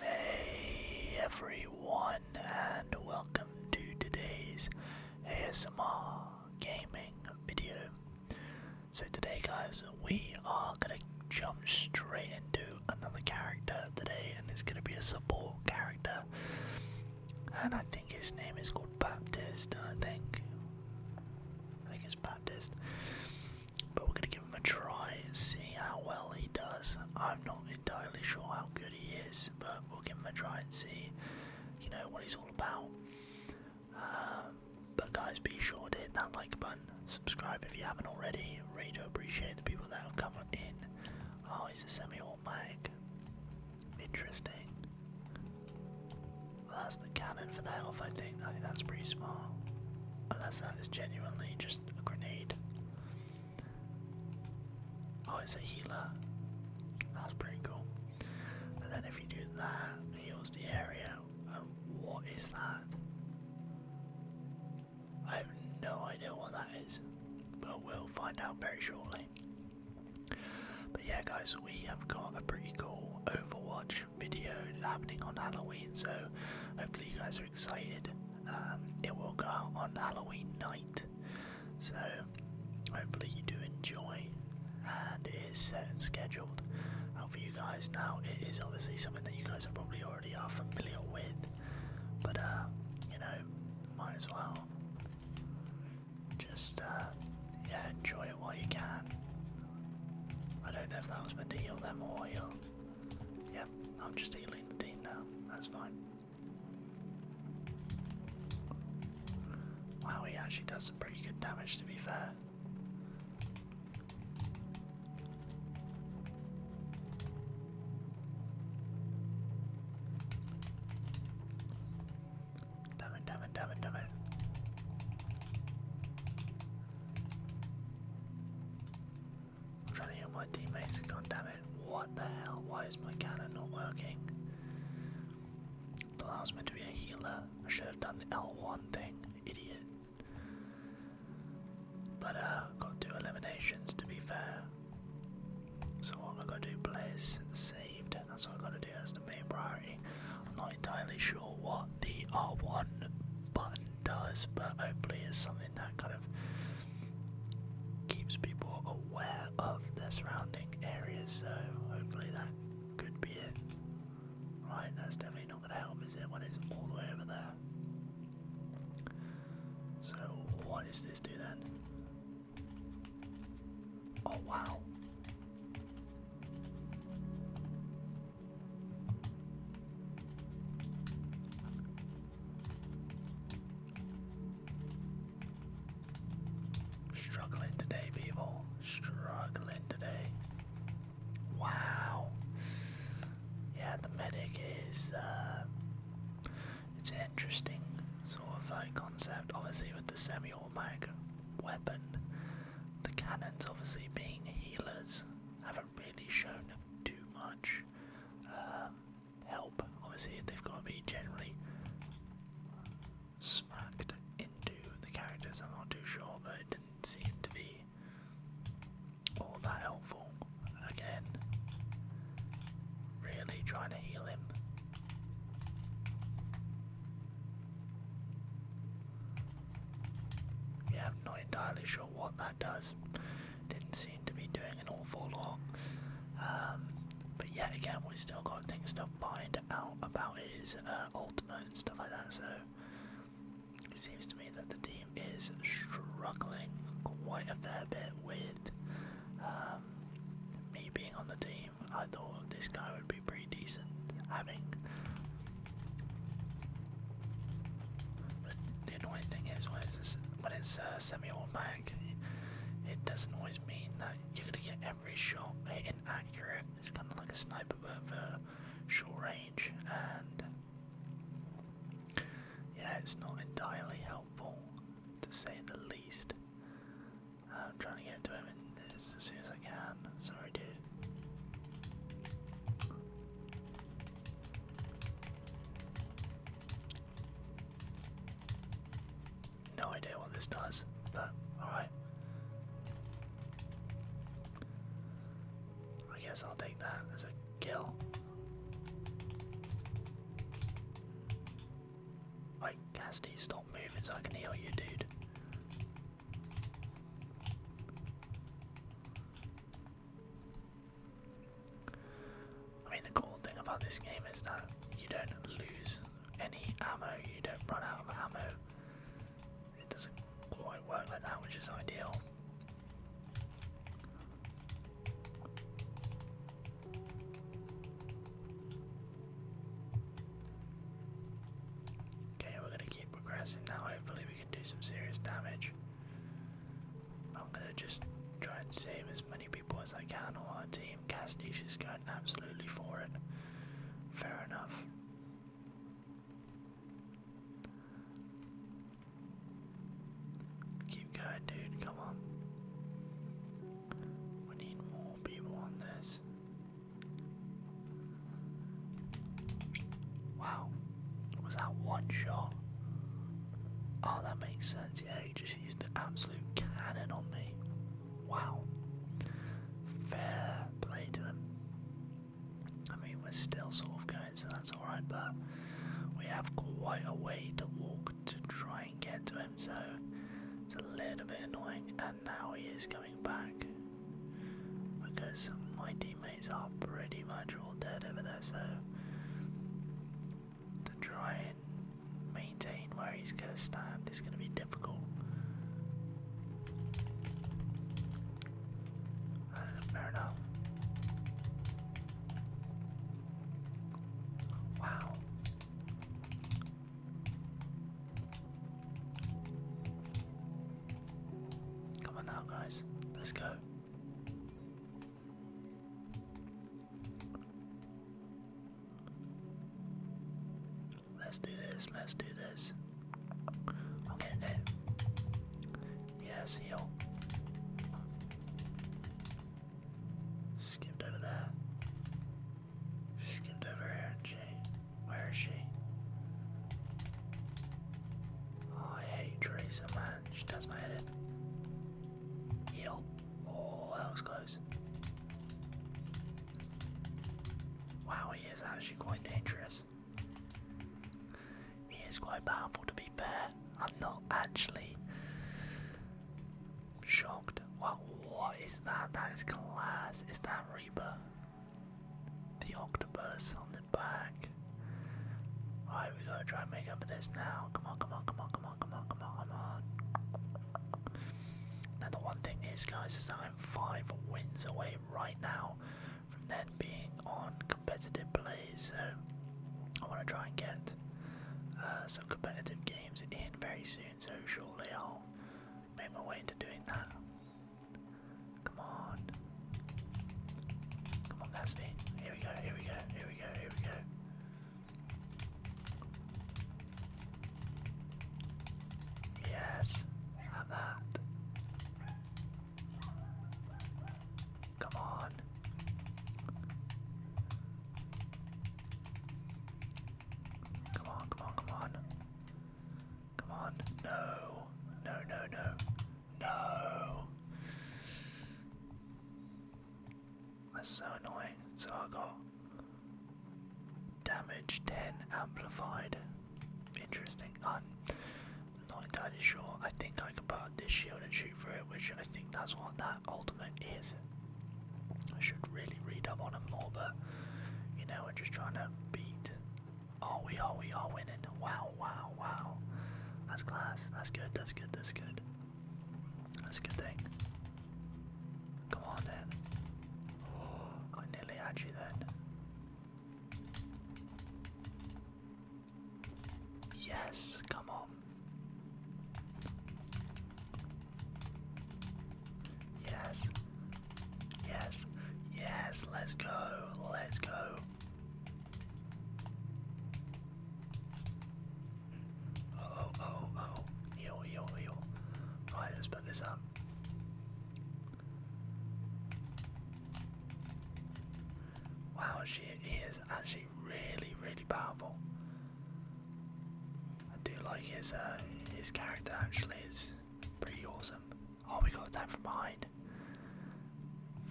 Hey everyone, and welcome to today's ASMR gaming video. So today, guys, we are gonna jump straight into another character today, and it's gonna be a support character. And I think his name is called Baptist. I think, I think it's Baptist. But we're gonna give him a try and see how well he does. I'm not entirely sure how good he is, but we'll give him a try and see, you know, what he's all about. Um, but guys, be sure to hit that like button, subscribe if you haven't already. Really do appreciate the people that have come on in. Oh, he's a semi-automatic. Interesting. Well, that's the cannon for the health, I think. I think that's pretty small. Unless that is genuinely just a grenade. Oh, it's a healer. That's pretty cool. And then if you do that, heals the area what is that? I have no idea what that is, but we'll find out very shortly. But yeah, guys, we have got a pretty cool Overwatch video happening on Halloween, so hopefully you guys are excited. Um, it will go out on Halloween night, so hopefully you do enjoy. And it is set and scheduled for you guys now. It is obviously something that you guys are probably already are familiar with, but uh, you know, might as well just uh, yeah, enjoy it while you can. I don't know if that was meant to heal them or heal. Yep, I'm just healing the team now. That's fine. Wow, he actually does some pretty good damage to be fair. Damn it, damn it, damn it, damn it. trying to heal my teammates, god damn it. What the hell? Why is my cannon not working? Thought I was meant to be a healer. I should have done the L1 thing, idiot. But uh, got two eliminations to be fair. So what I gotta do, players saved. That's what I gotta do. as the main priority. I'm not entirely sure what the R1 button does, but hopefully it's something that kind of keeps people aware of their surrounding areas. So hopefully that could be it. Right, that's definitely not going to help, is it, when it's all the way over there? So, what does this do then? Oh, wow. Struggling today, people. Struggling today. Wow. Yeah, the medic is, uh, it's an interesting sort of uh, concept, obviously with the semi-automatic weapon. The cannons obviously being healers haven't really shown too much um, help. Obviously they've got to be generally smacked into the characters, I'm not too sure, but didn't seem to be all that helpful. Again, really trying to heal him. Yeah, i not entirely sure what that does. Didn't seem to be doing an awful lot. Um, but yet again, we still got things to find out about his uh, ultimate and stuff like that. So it seems to me that the team is struggling quite a fair bit with um, me being on the team. I thought this guy would be pretty decent having. But the annoying thing is when it's, when it's uh, semi it doesn't always mean that you're gonna get every shot in accurate. It's kind of like a sniper, but short range, and yeah, it's not entirely helpful to say the least. Uh, I'm trying to get to him as soon as I can. Sorry, dude. No idea what this does, but alright. I guess I'll take that as a kill. Wait, Cassidy, stop moving I can heal you, dude. I mean, the cool thing about this game is that you don't lose any ammo, you don't run out of ammo it doesn't quite work like that, which is ideal. Okay, we're going to keep progressing now. Hopefully, we can do some serious damage. I'm going to just try and save as many people as I can on our team. Cassidy's just going absolutely for it. Fair enough. Keep going, dude. Come on. We need more people on this. Wow. Was that one shot? Oh, that makes sense. Yeah, he just used the absolute cannon on me. Wow. Fair play to him. I mean, we're still sort of going, so that's alright, but we have quite a way to walk to try and get to him, so it's a little bit annoying. And now he is coming back because my teammates are pretty much all dead over there, so to try and maintain where he's going to stand is going to be fair enough. Wow. Come on now, guys. Let's go. Let's do this. Let's do this. I'm getting it. Yes, heal. Skipped over there. She skipped over here, and she. Where is she? Oh, I hate Teresa, man. She does my head in. Heal. Oh, that was close. Wow, he is actually quite dangerous. He is quite powerful to be fair. I'm not actually shocked. What what is that? That is class. Is that Reaper? The octopus on the back. Alright, we gotta try and make up for this now. Come on, come on, come on, come on, come on, come on, come on. Now the one thing is guys is that I'm five wins away right now from then being on competitive plays, so I want to try and get uh, some competitive games in very soon, so surely I'll make my way into doing that. Come on. Come on, Gasly. Here we go, here we go, here we go, here we go. Yes, have that. Come on. Come on, come on, come on. Come on. No. No, no, no. No. That's so annoying. So I got Damage 10 amplified. Interesting. I'm not entirely sure. I think I can put this shield and shoot through it, which I think that's what that ultimate is. I should really read up on them more, but you know, we're just trying to beat. Oh, we are, we are winning. Wow, wow, wow. That's class. That's good, that's good, that's good. That's a good thing. Come on then. Oh, I nearly had you then. Yes, come on. Yes. Yes. Yes, let's go. Let's go. Oh, oh, oh, oh. Heal, heal, heal. Right, let's put this out. Wow, she is actually really, really powerful. I do like his uh, his character. Actually, is pretty awesome. Oh, we got attacked from behind.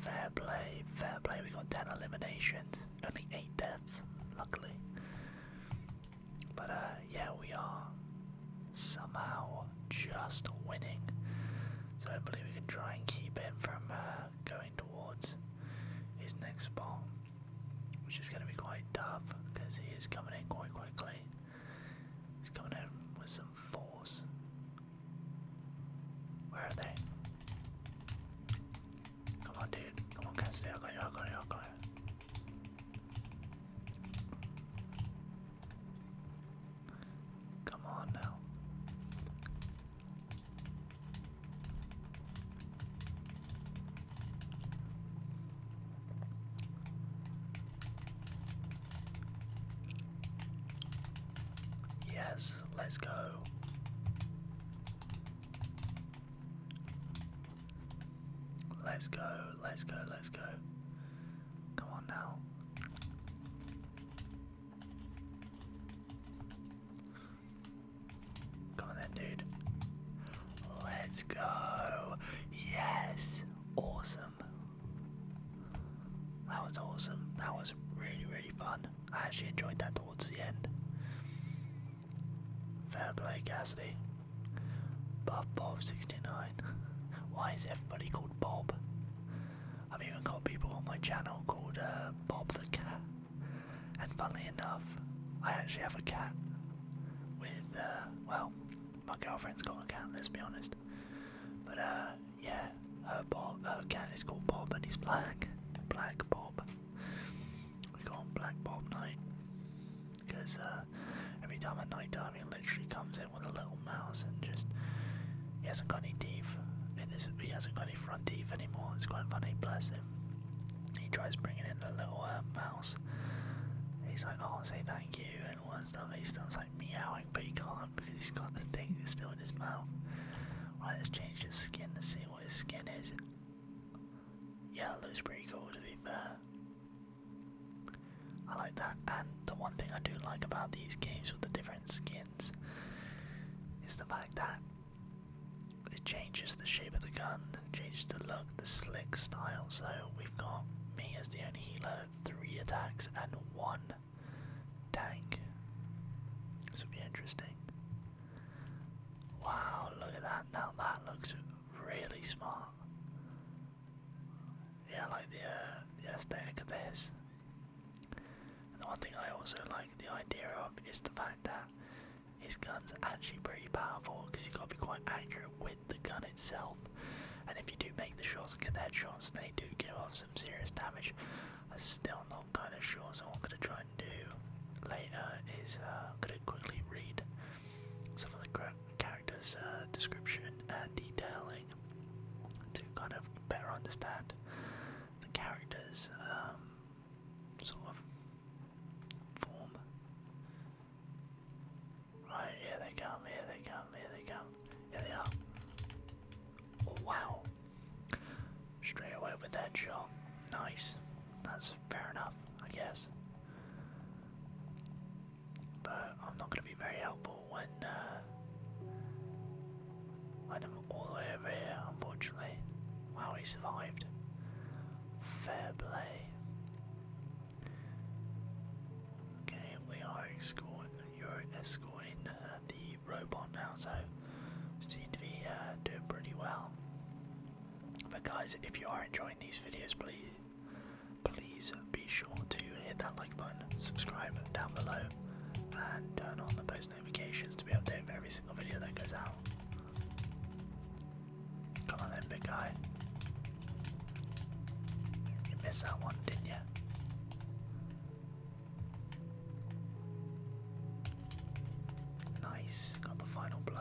Fair play, fair play. We got ten eliminations, only eight deaths. Luckily, but uh, yeah, we are somehow just winning. So hopefully we can try and keep him from uh, going towards his next spot, which is going to be quite tough because he is coming in quite quickly. He's coming in with some force. Where are they? Come on, dude. Come on, Cassidy. I got you. I got you. I got you. Come on now. Yes, let's go. Let's go, let's go, let's go. Come on now. Come on then, dude. Let's go. Yes. Awesome. That was awesome. That was really, really fun. I actually enjoyed that towards the end. Fair play, Cassidy. Buff Bob 69. Why is everybody called Bob? I've even got people on my channel called uh, Bob the Cat. And funnily enough, I actually have a cat with, uh, well, my girlfriend's got a cat, let's be honest. But, uh, yeah, her, Bob, her cat is called Bob and he's black. Black Bob. We call him Black Bob Knight because uh, every time at night time he literally comes in with a little mouse and just he hasn't got any teeth he hasn't got any front teeth anymore. It's quite funny, bless him. He tries bringing in a little uh, mouse. He's like, oh, say thank you and all that stuff. He starts like meowing, but he can't because he's got the thing still in his mouth. Right, let's change his skin to see what his skin is. Yeah, it looks pretty cool to be fair. I like that, and the one thing I do like about these games with the different skins is the fact that it changes the shape of the gun, changes the look, the slick style. So we've got me as the only healer, three attacks, and one tank. This would be interesting. Wow, look at that. Now that looks really smart. Yeah, like the, uh, the aesthetic of this. And the one thing I also like the idea of is the fact that his gun's actually pretty powerful because you have got to be quite accurate with the gun itself. And if you do make the shots and get the shots, they do give off some serious damage. I'm still not kind of sure, so what I'm going to try and do later is uh, I'm going to quickly read some of the characters' uh, description and detailing to kind of better understand the characters' um, sort of form. Right, here they come, here they come, here they come, here they are. Oh, wow. Straight away with that shot. Nice. That's fair enough, I guess. But I'm not gonna be very helpful when uh, when I'm all the way over here, unfortunately. Wow, he survived. Fair play. Okay, we are escorting. You're escorting uh, the robot now, so seem to be uh, doing pretty well. But guys, if you are enjoying these videos, please, please be sure to hit that like button, subscribe down below, and turn on the post notifications to be updated for every single video that goes out. Come on then, big guy. You missed that one, didn't you? Nice, got the final blow.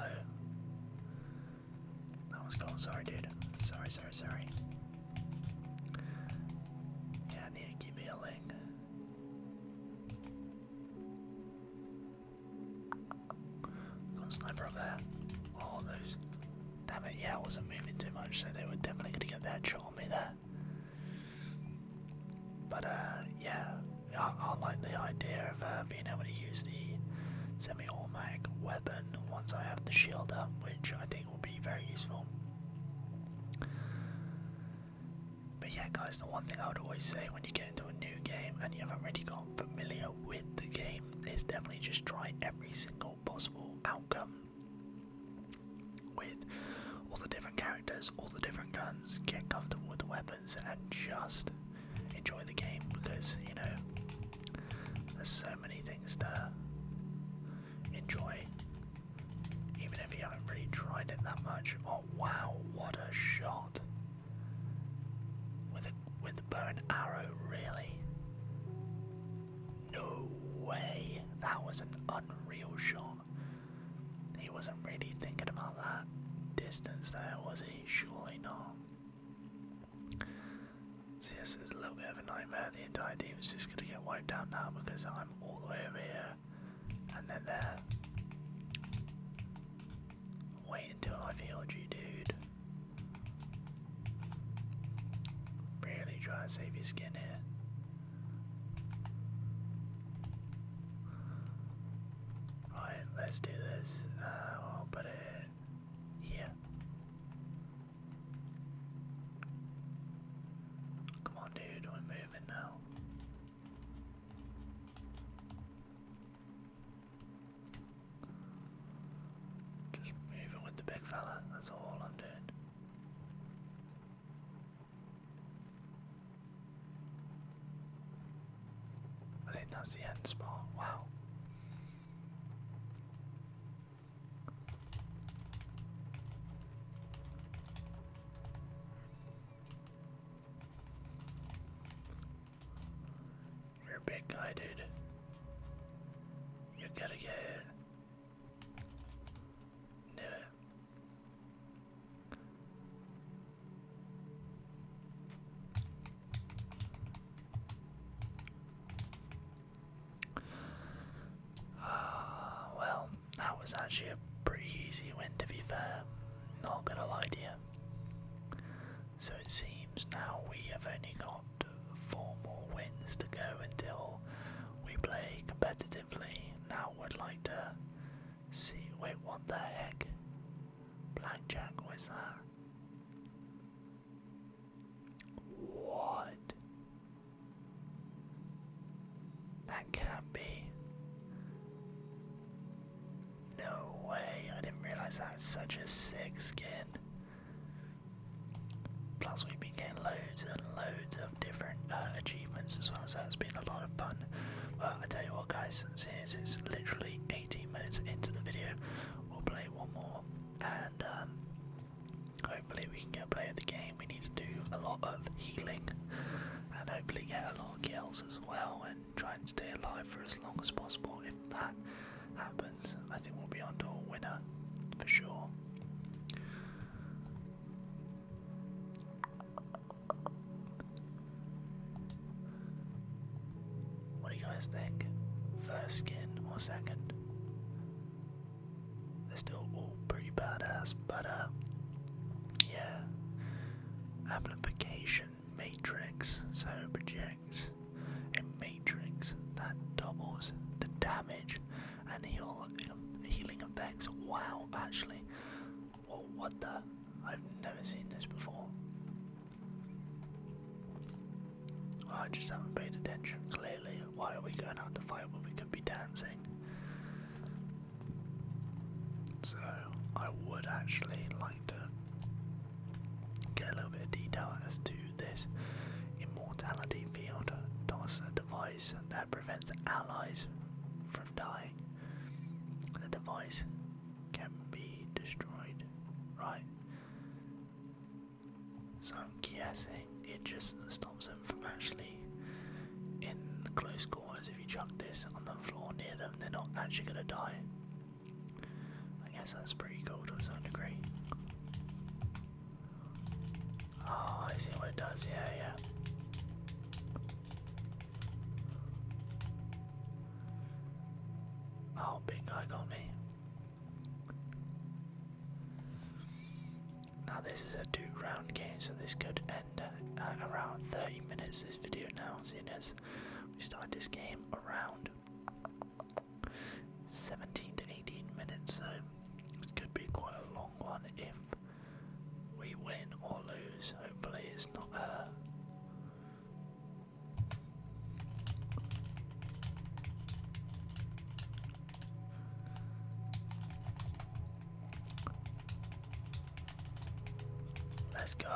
That was cool. Sorry, dude. Sorry, sorry, sorry. Yeah, I need to keep healing. Got sniper up there. Oh, those. Damn it, yeah, I wasn't moving too much, so they were definitely going to get that shot on me there. But, uh, yeah, I, like the idea of uh, being able to use the semi-automatic weapon once I have the shield up, which I think will be very useful. But yeah, guys, the one thing I would always say when you get into a new game and you haven't really got familiar with the game is definitely just try every single possible outcome with all the different characters, all the different guns, get comfortable with the weapons, and just enjoy the game because you know there's so many things to enjoy, even if you haven't really tried it that much. Oh wow, what a shot! With a with a bow and arrow, really? No way! That was an unreal shot. He wasn't really thinking about that distance there, was he? Surely not. So yes, it's a little bit of a nightmare. The entire team is just gonna get wiped out now because I'm all the way over here, and they're there. Wait until I've you, dude. Really try and save your skin here. Right, let's do this. Uh, I'll put it here. Come on, dude, we're moving now. Just moving with the big fella, that's all I'm doing. I think that's the end spot. Wow. You're a big guy, dude. You gotta get it. Uh, well, that was actually a pretty easy win to be fair, not gonna lie to you. So it seems now we have only got four more wins to go until we play competitively. Now would like to see wait what the heck? Blackjack was that? What? That can't be. No way, I didn't realize that's such a sick skin. Plus, we've been getting loads and loads of different uh, achievements as well, so that's been a lot of fun. But I tell you what, guys, since it's literally 18 minutes into the video. We'll play one more, and um, hopefully we can get play of the game. We need to do a lot of healing, and hopefully get a lot of kills as well, and try and stay alive for as long as possible. If that happens, I think we'll be on to a winner for sure. What do you guys think? First skin or second? They're still all pretty badass, but uh, yeah. Amplification matrix, so projects a matrix that doubles the damage and heal, healing effects. Wow, actually, Whoa, what the? I've never seen this before. I just haven't paid attention, clearly. Why are we going out to fight when we could be dancing? So, I would actually like to get a little bit of detail as to this immortality field. Does a device that prevents allies from dying. The device can be destroyed, right? So I'm guessing it just stops them from actually in close quarters. If you chuck this on the floor near them, they're not actually gonna die. I guess that's pretty cool to some degree. Oh, I see what it does. Yeah, yeah. Oh, big guy got me. Now this is a two-round game, so this could end around 30 minutes. This video now, seeing as we started this game around 17 to 18 minutes, so this could be quite a long one if we win or lose. Hopefully, it's not her. Uh, Let's go.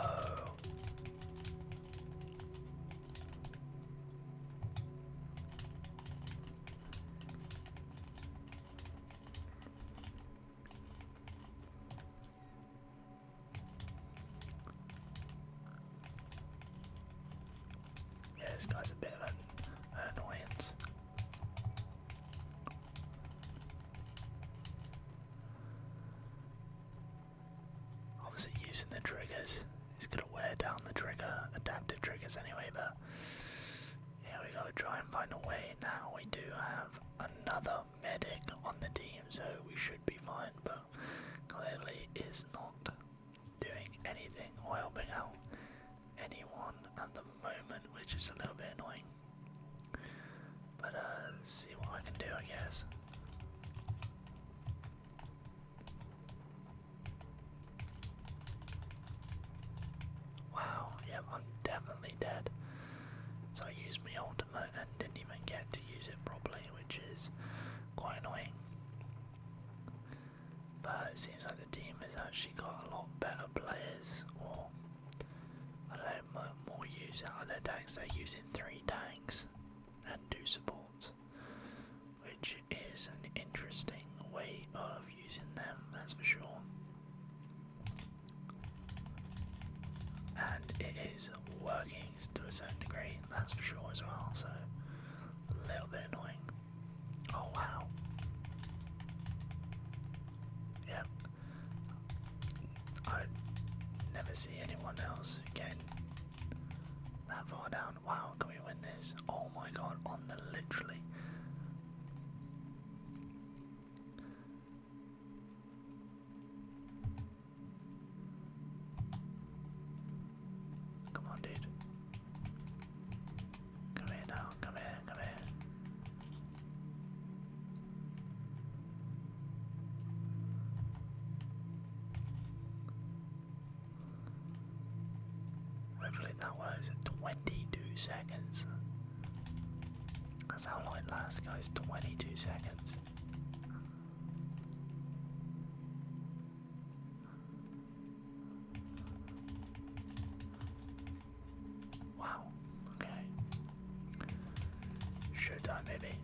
Yeah, this guy's a bit of an, annoyance. Obviously, using the triggers is going to wear down the trigger, adaptive triggers anyway, but yeah, we got to try and find a way. Now we do have another medic on the team, so we should be fine, but clearly is not doing anything or helping out anyone at the moment, which is a little bit annoying. But uh, let's see what I can do, I guess. Wow, yep, I'm definitely dead. So I used my old and didn't even get to use it properly, which is quite annoying. But it seems like the team has actually got a lot better players, or I don't know, more use other tanks. They're using three tanks and do support, which is an interesting way of using them, that's for sure. And it is working to a certain degree, that's for sure as well, so a little bit annoying. Oh wow. Yep. I never see anyone else getting that far down. Wow, can we win this? Oh my god, on the literally. Come on, dude. Come here now. Come here. Come here. Hopefully that was 22 seconds. That's how long it lasts, guys. 22 seconds. Wow, okay. Showtime, maybe.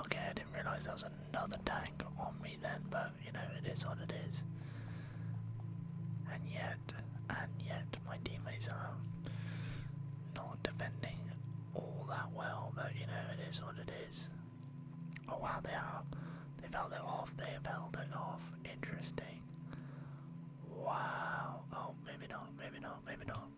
Okay, I didn't realize there was another tank on me then, but you know, it is what it is. And yeah, and yet my teammates are not defending all that well, but you know, it is what it is. Oh wow, they are. They've held it off, they have held it off. Interesting. Wow. Oh, maybe not, maybe not, maybe not.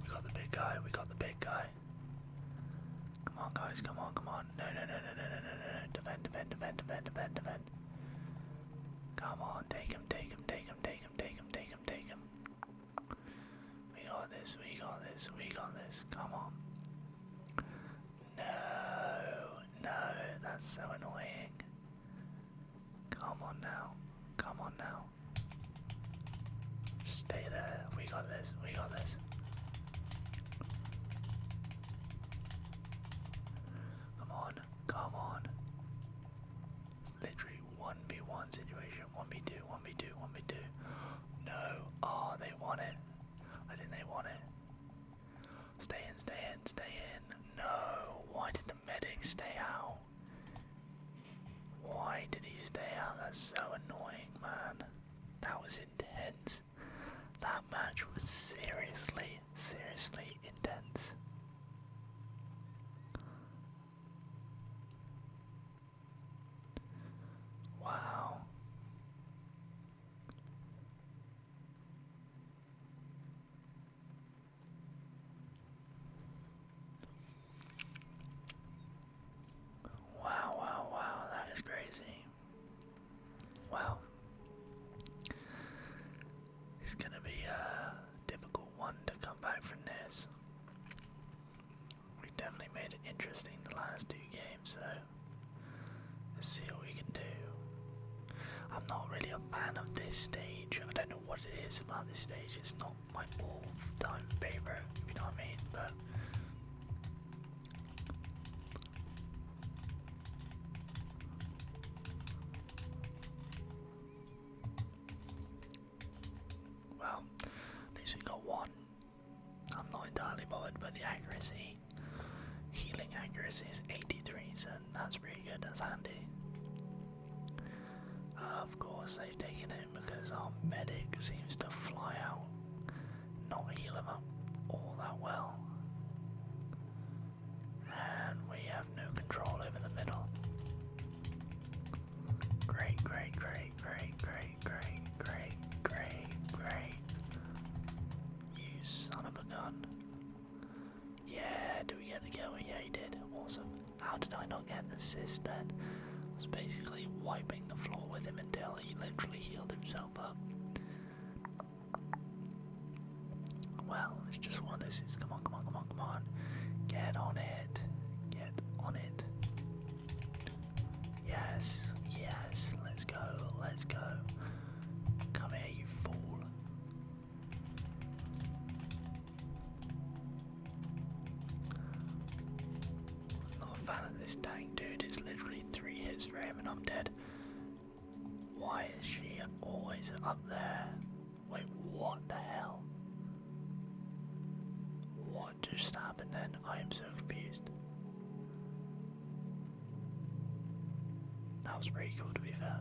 We got the big guy, we got the big guy. Come on guys, come on, come on. No no no no no no no no defend defend defend defend defend defend. Come on, take him, take him, take him, take take him, take him, take him, We got this, we got this, we got this. Come on. No, no, that's so annoying. Come on now, come on now. Stay there, we got this, we got this. Come on, come on literally 1v1 situation. 1v2, 1v2, 1v2. No. Oh, they want it. I think they want it. Stay in, stay in, stay in. No. Why did the medic stay out? Why did he stay out? That's so annoying, man. That was intense. That match was seriously seriously intense. Wow. Wow, wow, wow, that is crazy. Wow. It's gonna be a difficult one to come back from this. We definitely made it interesting the last two games, so let's see what we can do. I'm not really a fan of this stage. I don't know what it is about this stage. It's not my all-time favorite, if you know what I mean. But well, at least we got one. I'm not entirely bothered, by the accuracy, healing accuracy is 83, so that's pretty good, that's handy. Uh, of course, they've taken him because our medic seems to fly out, not heal him up all that well. And we have no control over the middle. Great, great, great, great, great, great, great, great, great. You son of a gun. Yeah, did we get the kill? Yeah, he did. Awesome. How did I not get an assist then? I was basically wiping the floor with him until he literally healed himself up. Well, it's just one of those Come on, come on, come on, come on. Get on it. Get on it. Yes, yes. Let's go, let's go. Come here, you fool. Not a fan of this dang dude. It's literally three hits for him and I'm dead. Why is she always up there? Wait, what the hell? What just happened then? I am so confused. That was pretty cool to be fair.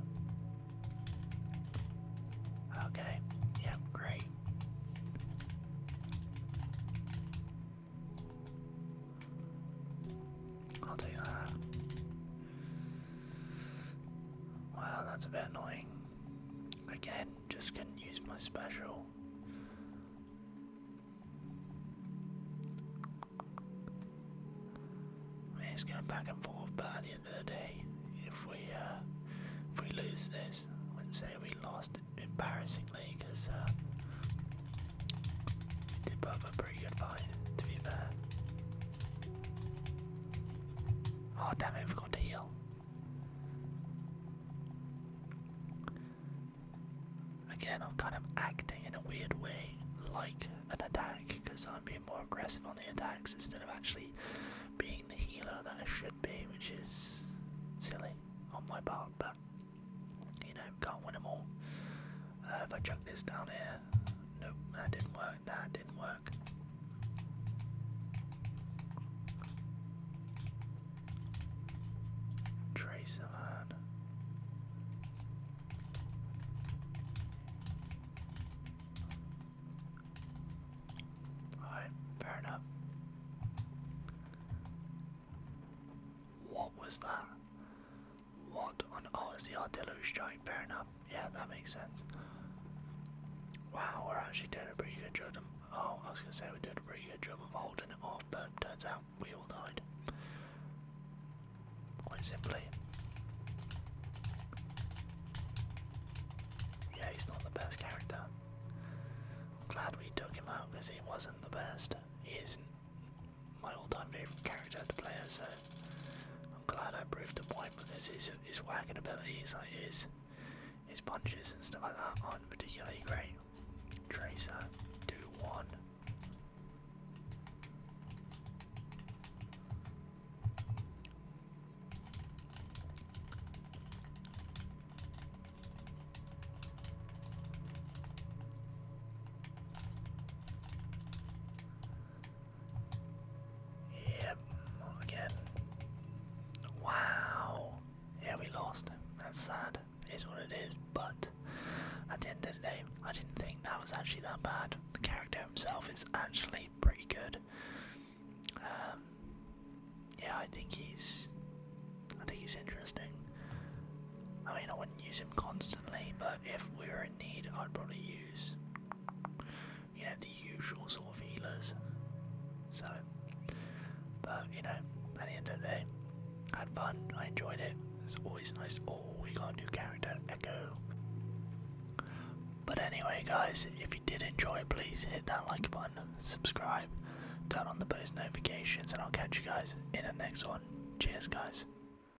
Okay, yeah, great. I'll that's a bit annoying. Again, just couldn't use my special. it's going back and forth, by the end of the day, if we uh, if we lose this, I wouldn't say we lost embarrassingly because uh, a pretty good fight, to be fair. Oh damn it, I forgot to heal. Again, I'm kind of acting in a weird way like an attack because I'm being more aggressive on the attacks instead of actually being the healer that I should be, which is silly on my part, but you know, can't win them all. Uh, if I chuck this down here, Nope, that didn't work. That didn't work. Tracer man. Alright, fair enough. What was that? What on oh it's the artillery strike, fair enough. Yeah, that makes sense. Wow, we're actually doing a pretty good job of oh, I was gonna say we're doing a pretty good job of holding it off, but turns out we all died. Quite simply. Yeah, he's not the best character. glad we took him out because he wasn't the best. He is my all-time favorite character to play as. So I'm glad I proved him point. because his his whacking abilities, like his his punches and stuff like that, aren't particularly great. Tracer, do one. Yep, again. Wow. Yeah, we lost. That's sad. It is what it is, but at the end of the day, I didn't think that was actually that bad. The character himself is actually pretty good. Um, yeah, I think he's, I think he's interesting. I mean, I wouldn't use him constantly, but if we were need, I'd probably use, you know, the usual sort of healers. So, but you know, at the end of the day, had fun, I enjoyed it. It's always nice. Oh, we got a new character, Echo. But anyway, guys, if you did enjoy, please hit that like button, subscribe, turn on the post notifications, and I'll catch you guys in the next one. Cheers, guys.